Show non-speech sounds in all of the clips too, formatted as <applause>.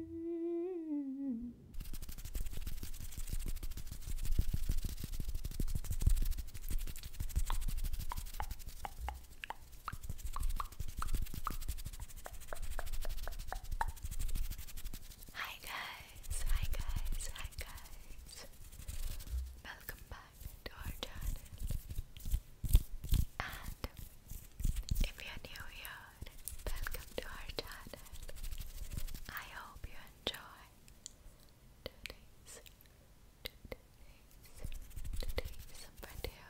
Hi guys, hi guys, hi guys. Welcome back to our channel. And if you are new here, welcome to our channel. I hope you enjoy today's, today's, today's video.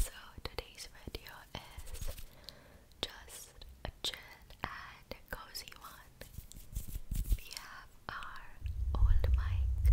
So today's video is just a chill and cozy one. We have our old mic.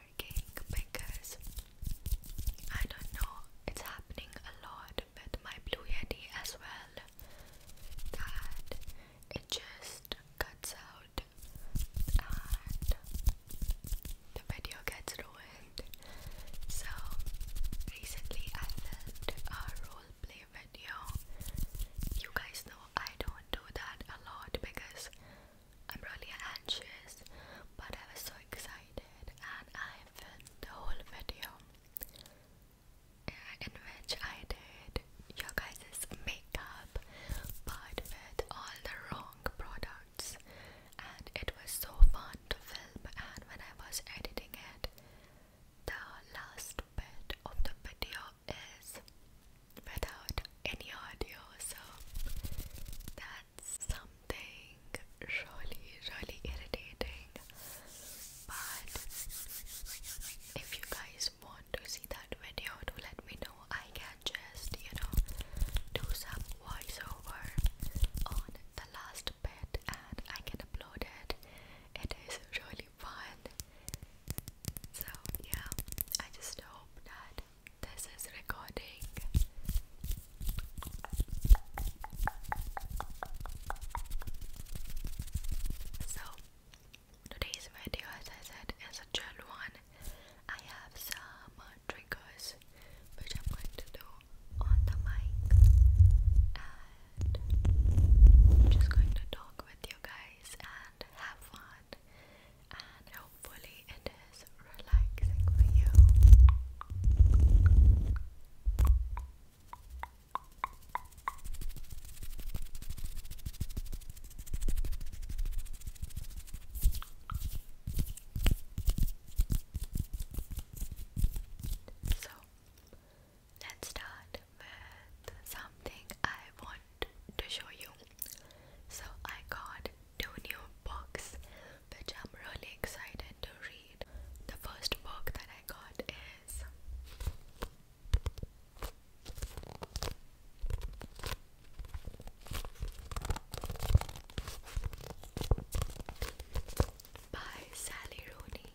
working because I don't know, it's happening a lot with my Blue Yeti as well that it just cuts out and the video gets ruined. So recently I filmed a role video. You guys know I don't do that a lot because I'm really anxious, but I was so excited, and I filmed the whole video uh, in which I did your guys' makeup, but with all the wrong products, and it was so fun to film. And when I was editing it, the last bit of the video is without any audio, so that's something really, really irritating. But if you guys want to see that video, do let me know. I can just, you know, do some voiceover on the last bit and I can upload it. It is really fun. So, yeah, I just hope that this is recording. So, today's video, as I said, is a chill one. I have some triggers which I'm going to do on the mic, and I'm just going to talk with you guys and have fun and hopefully, it is relaxing for you. So let's start with something I want to show you. So I got two new books which I'm really excited to read. The first book that I got is by Sally Rooney.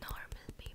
Normal people.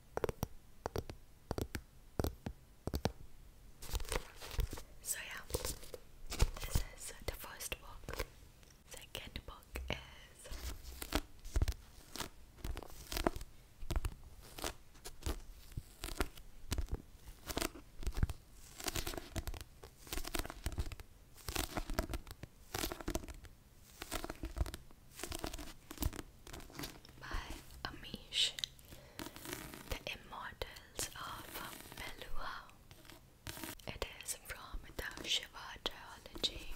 So yeah, this is the first book. Second book is by Amish, The Immortals of Melua. It is from the Shiva trilogy.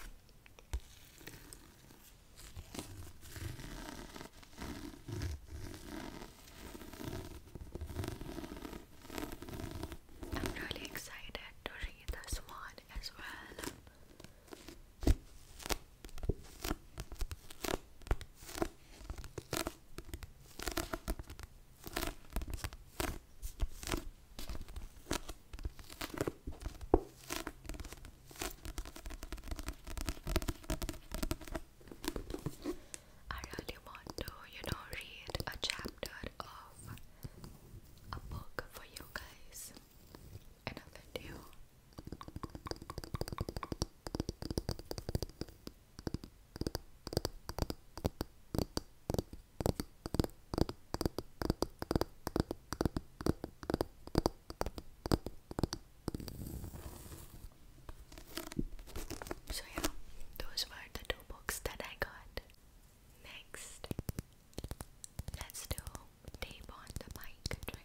I'm really excited to read this one as well. I really want to, you know, read a chapter of a book for you guys another So, yeah, those were the two books that I got. Next, let's do tape on the mic trigger.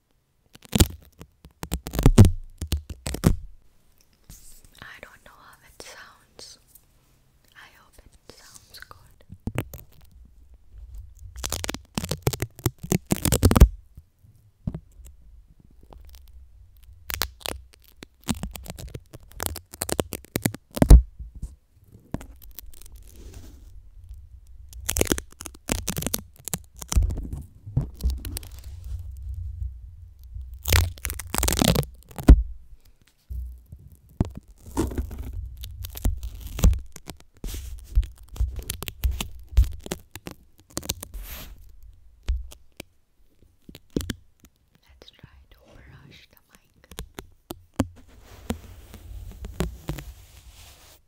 I don't know how it sounds. I hope it sounds good. Let's try to rush the mic.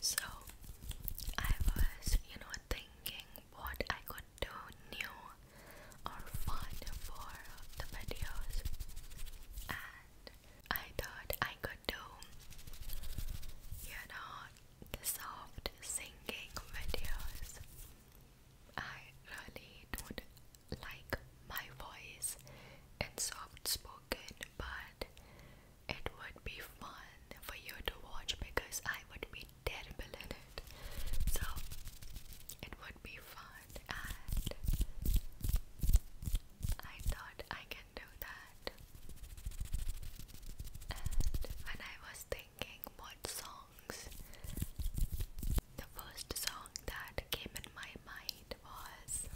So I was, you know, thinking what I could do new or fun for the videos, and I thought I could do, you know, soft singing videos. I really don't like my voice in soft spoken, but it would be fun for you to watch because I would be terrible in it. So it would be fun and I thought I can do that. And when I was thinking what songs, the first song that came in my mind was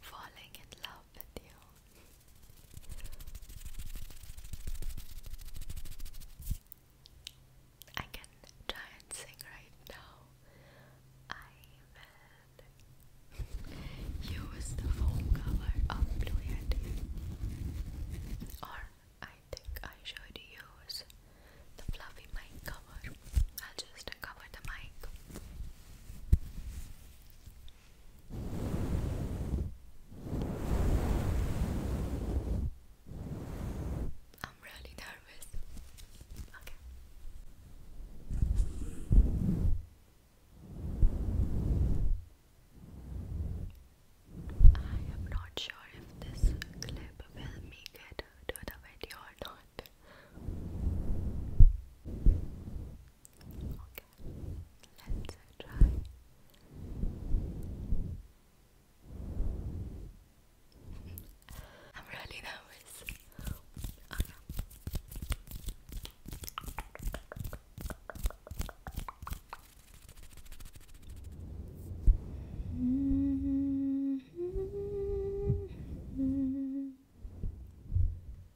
Falling in Love with You I can try and sing right now. I will use the foam cover of Blue Or I think I should use the fluffy mic cover. I'll just cover the mic. I'm really nervous. Okay. I am not sure if this clip will make it to the video or not. Okay, let I'm really nervous. -hmm.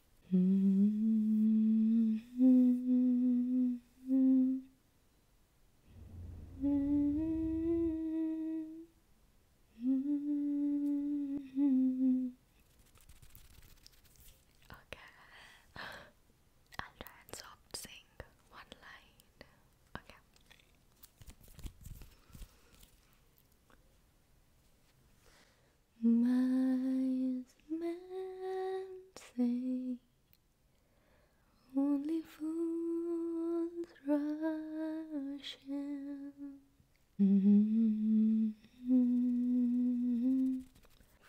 Okay, I'll try and soft sing one line. Okay. Mas men say only fools rush in. Mm-hmm.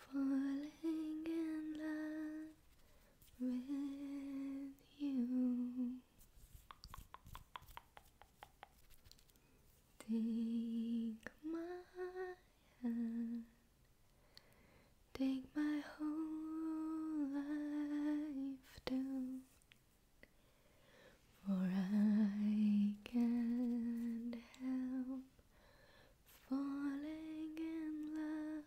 Falling in love with you. Take my hand, take my whole life down, for I can't help falling in love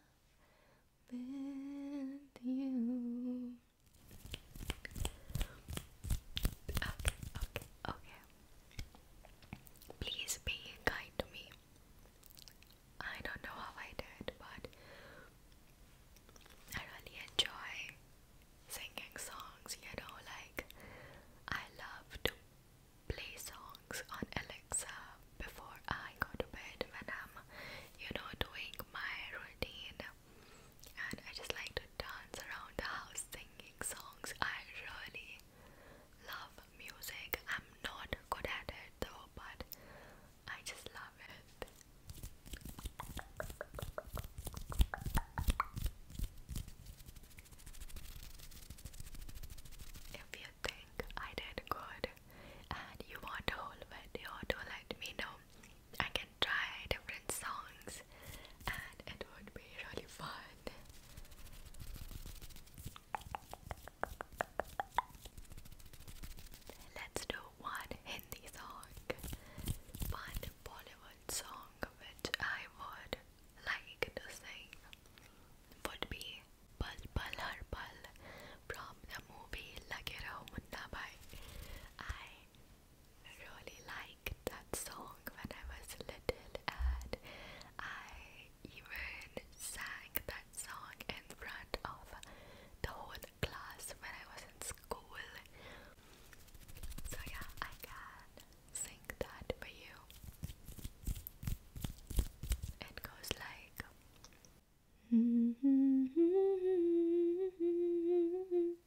with you. Okay, okay, okay. Please be kind to me. I don't know how I did, but I really enjoy singing songs, you know, like I love to play songs on Alexa before I go to bed when I'm, you know, doing my routine. And I just like to dance around the house, singing songs. I really love music. I'm not good at it though, but I just love it. If you think I did good and you want a whole video to let me know, I can try different songs and it would be really fun. Let's do one Hindi song, one Bollywood song which I would like to sing would be Pal Pal Har Pal from the movie Lage Raho Munna Bhai. I really liked that song when I was little and I even sang that song in front of the whole class when I was in school. So yeah, I can sing that for you. It goes like <laughs> <laughs>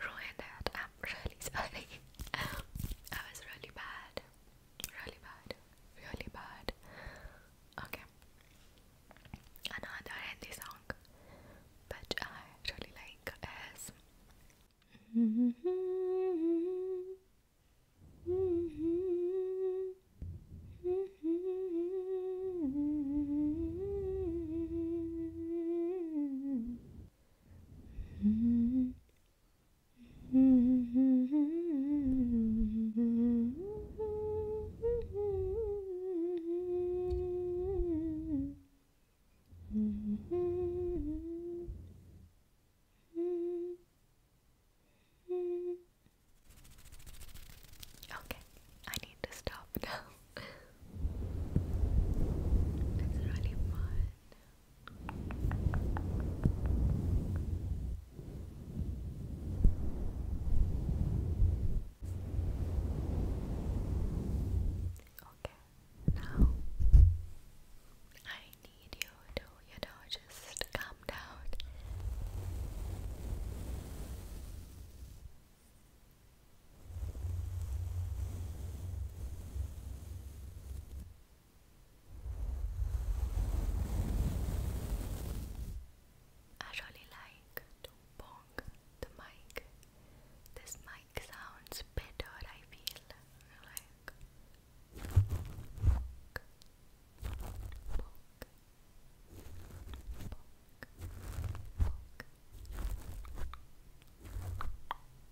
ruined it. I'm um, really sorry. Um, I was really bad. Really bad. Really bad. Okay. Another Hindi song which I really like is Okay, I need to stop now. It's really fun. Okay, now I need you to, you know, just calm down. I really like the mic. This mic sounds better, I feel like.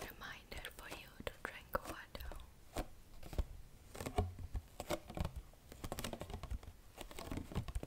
Reminder for you to drink water.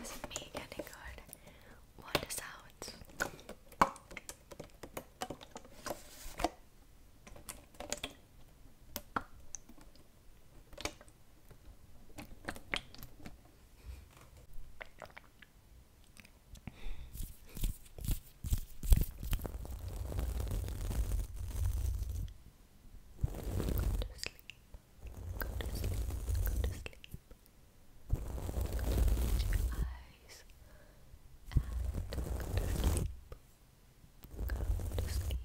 Isn't me getting good? What is out? to sleep. Go to sleep. Go to sleep. Close your eyes and Go to sleep. Go to sleep.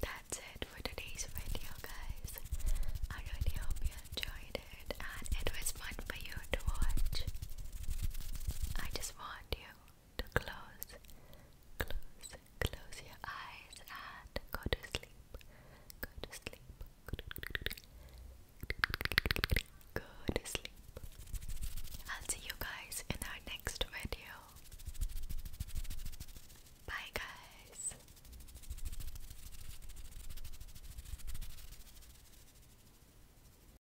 That's it for today's video, guys. I really hope you enjoyed it and it was fun for you to watch. I just want you close, close, close your eyes and go to sleep. Go to sleep. Go to sleep. I'll see you guys in our next video. Bye, guys.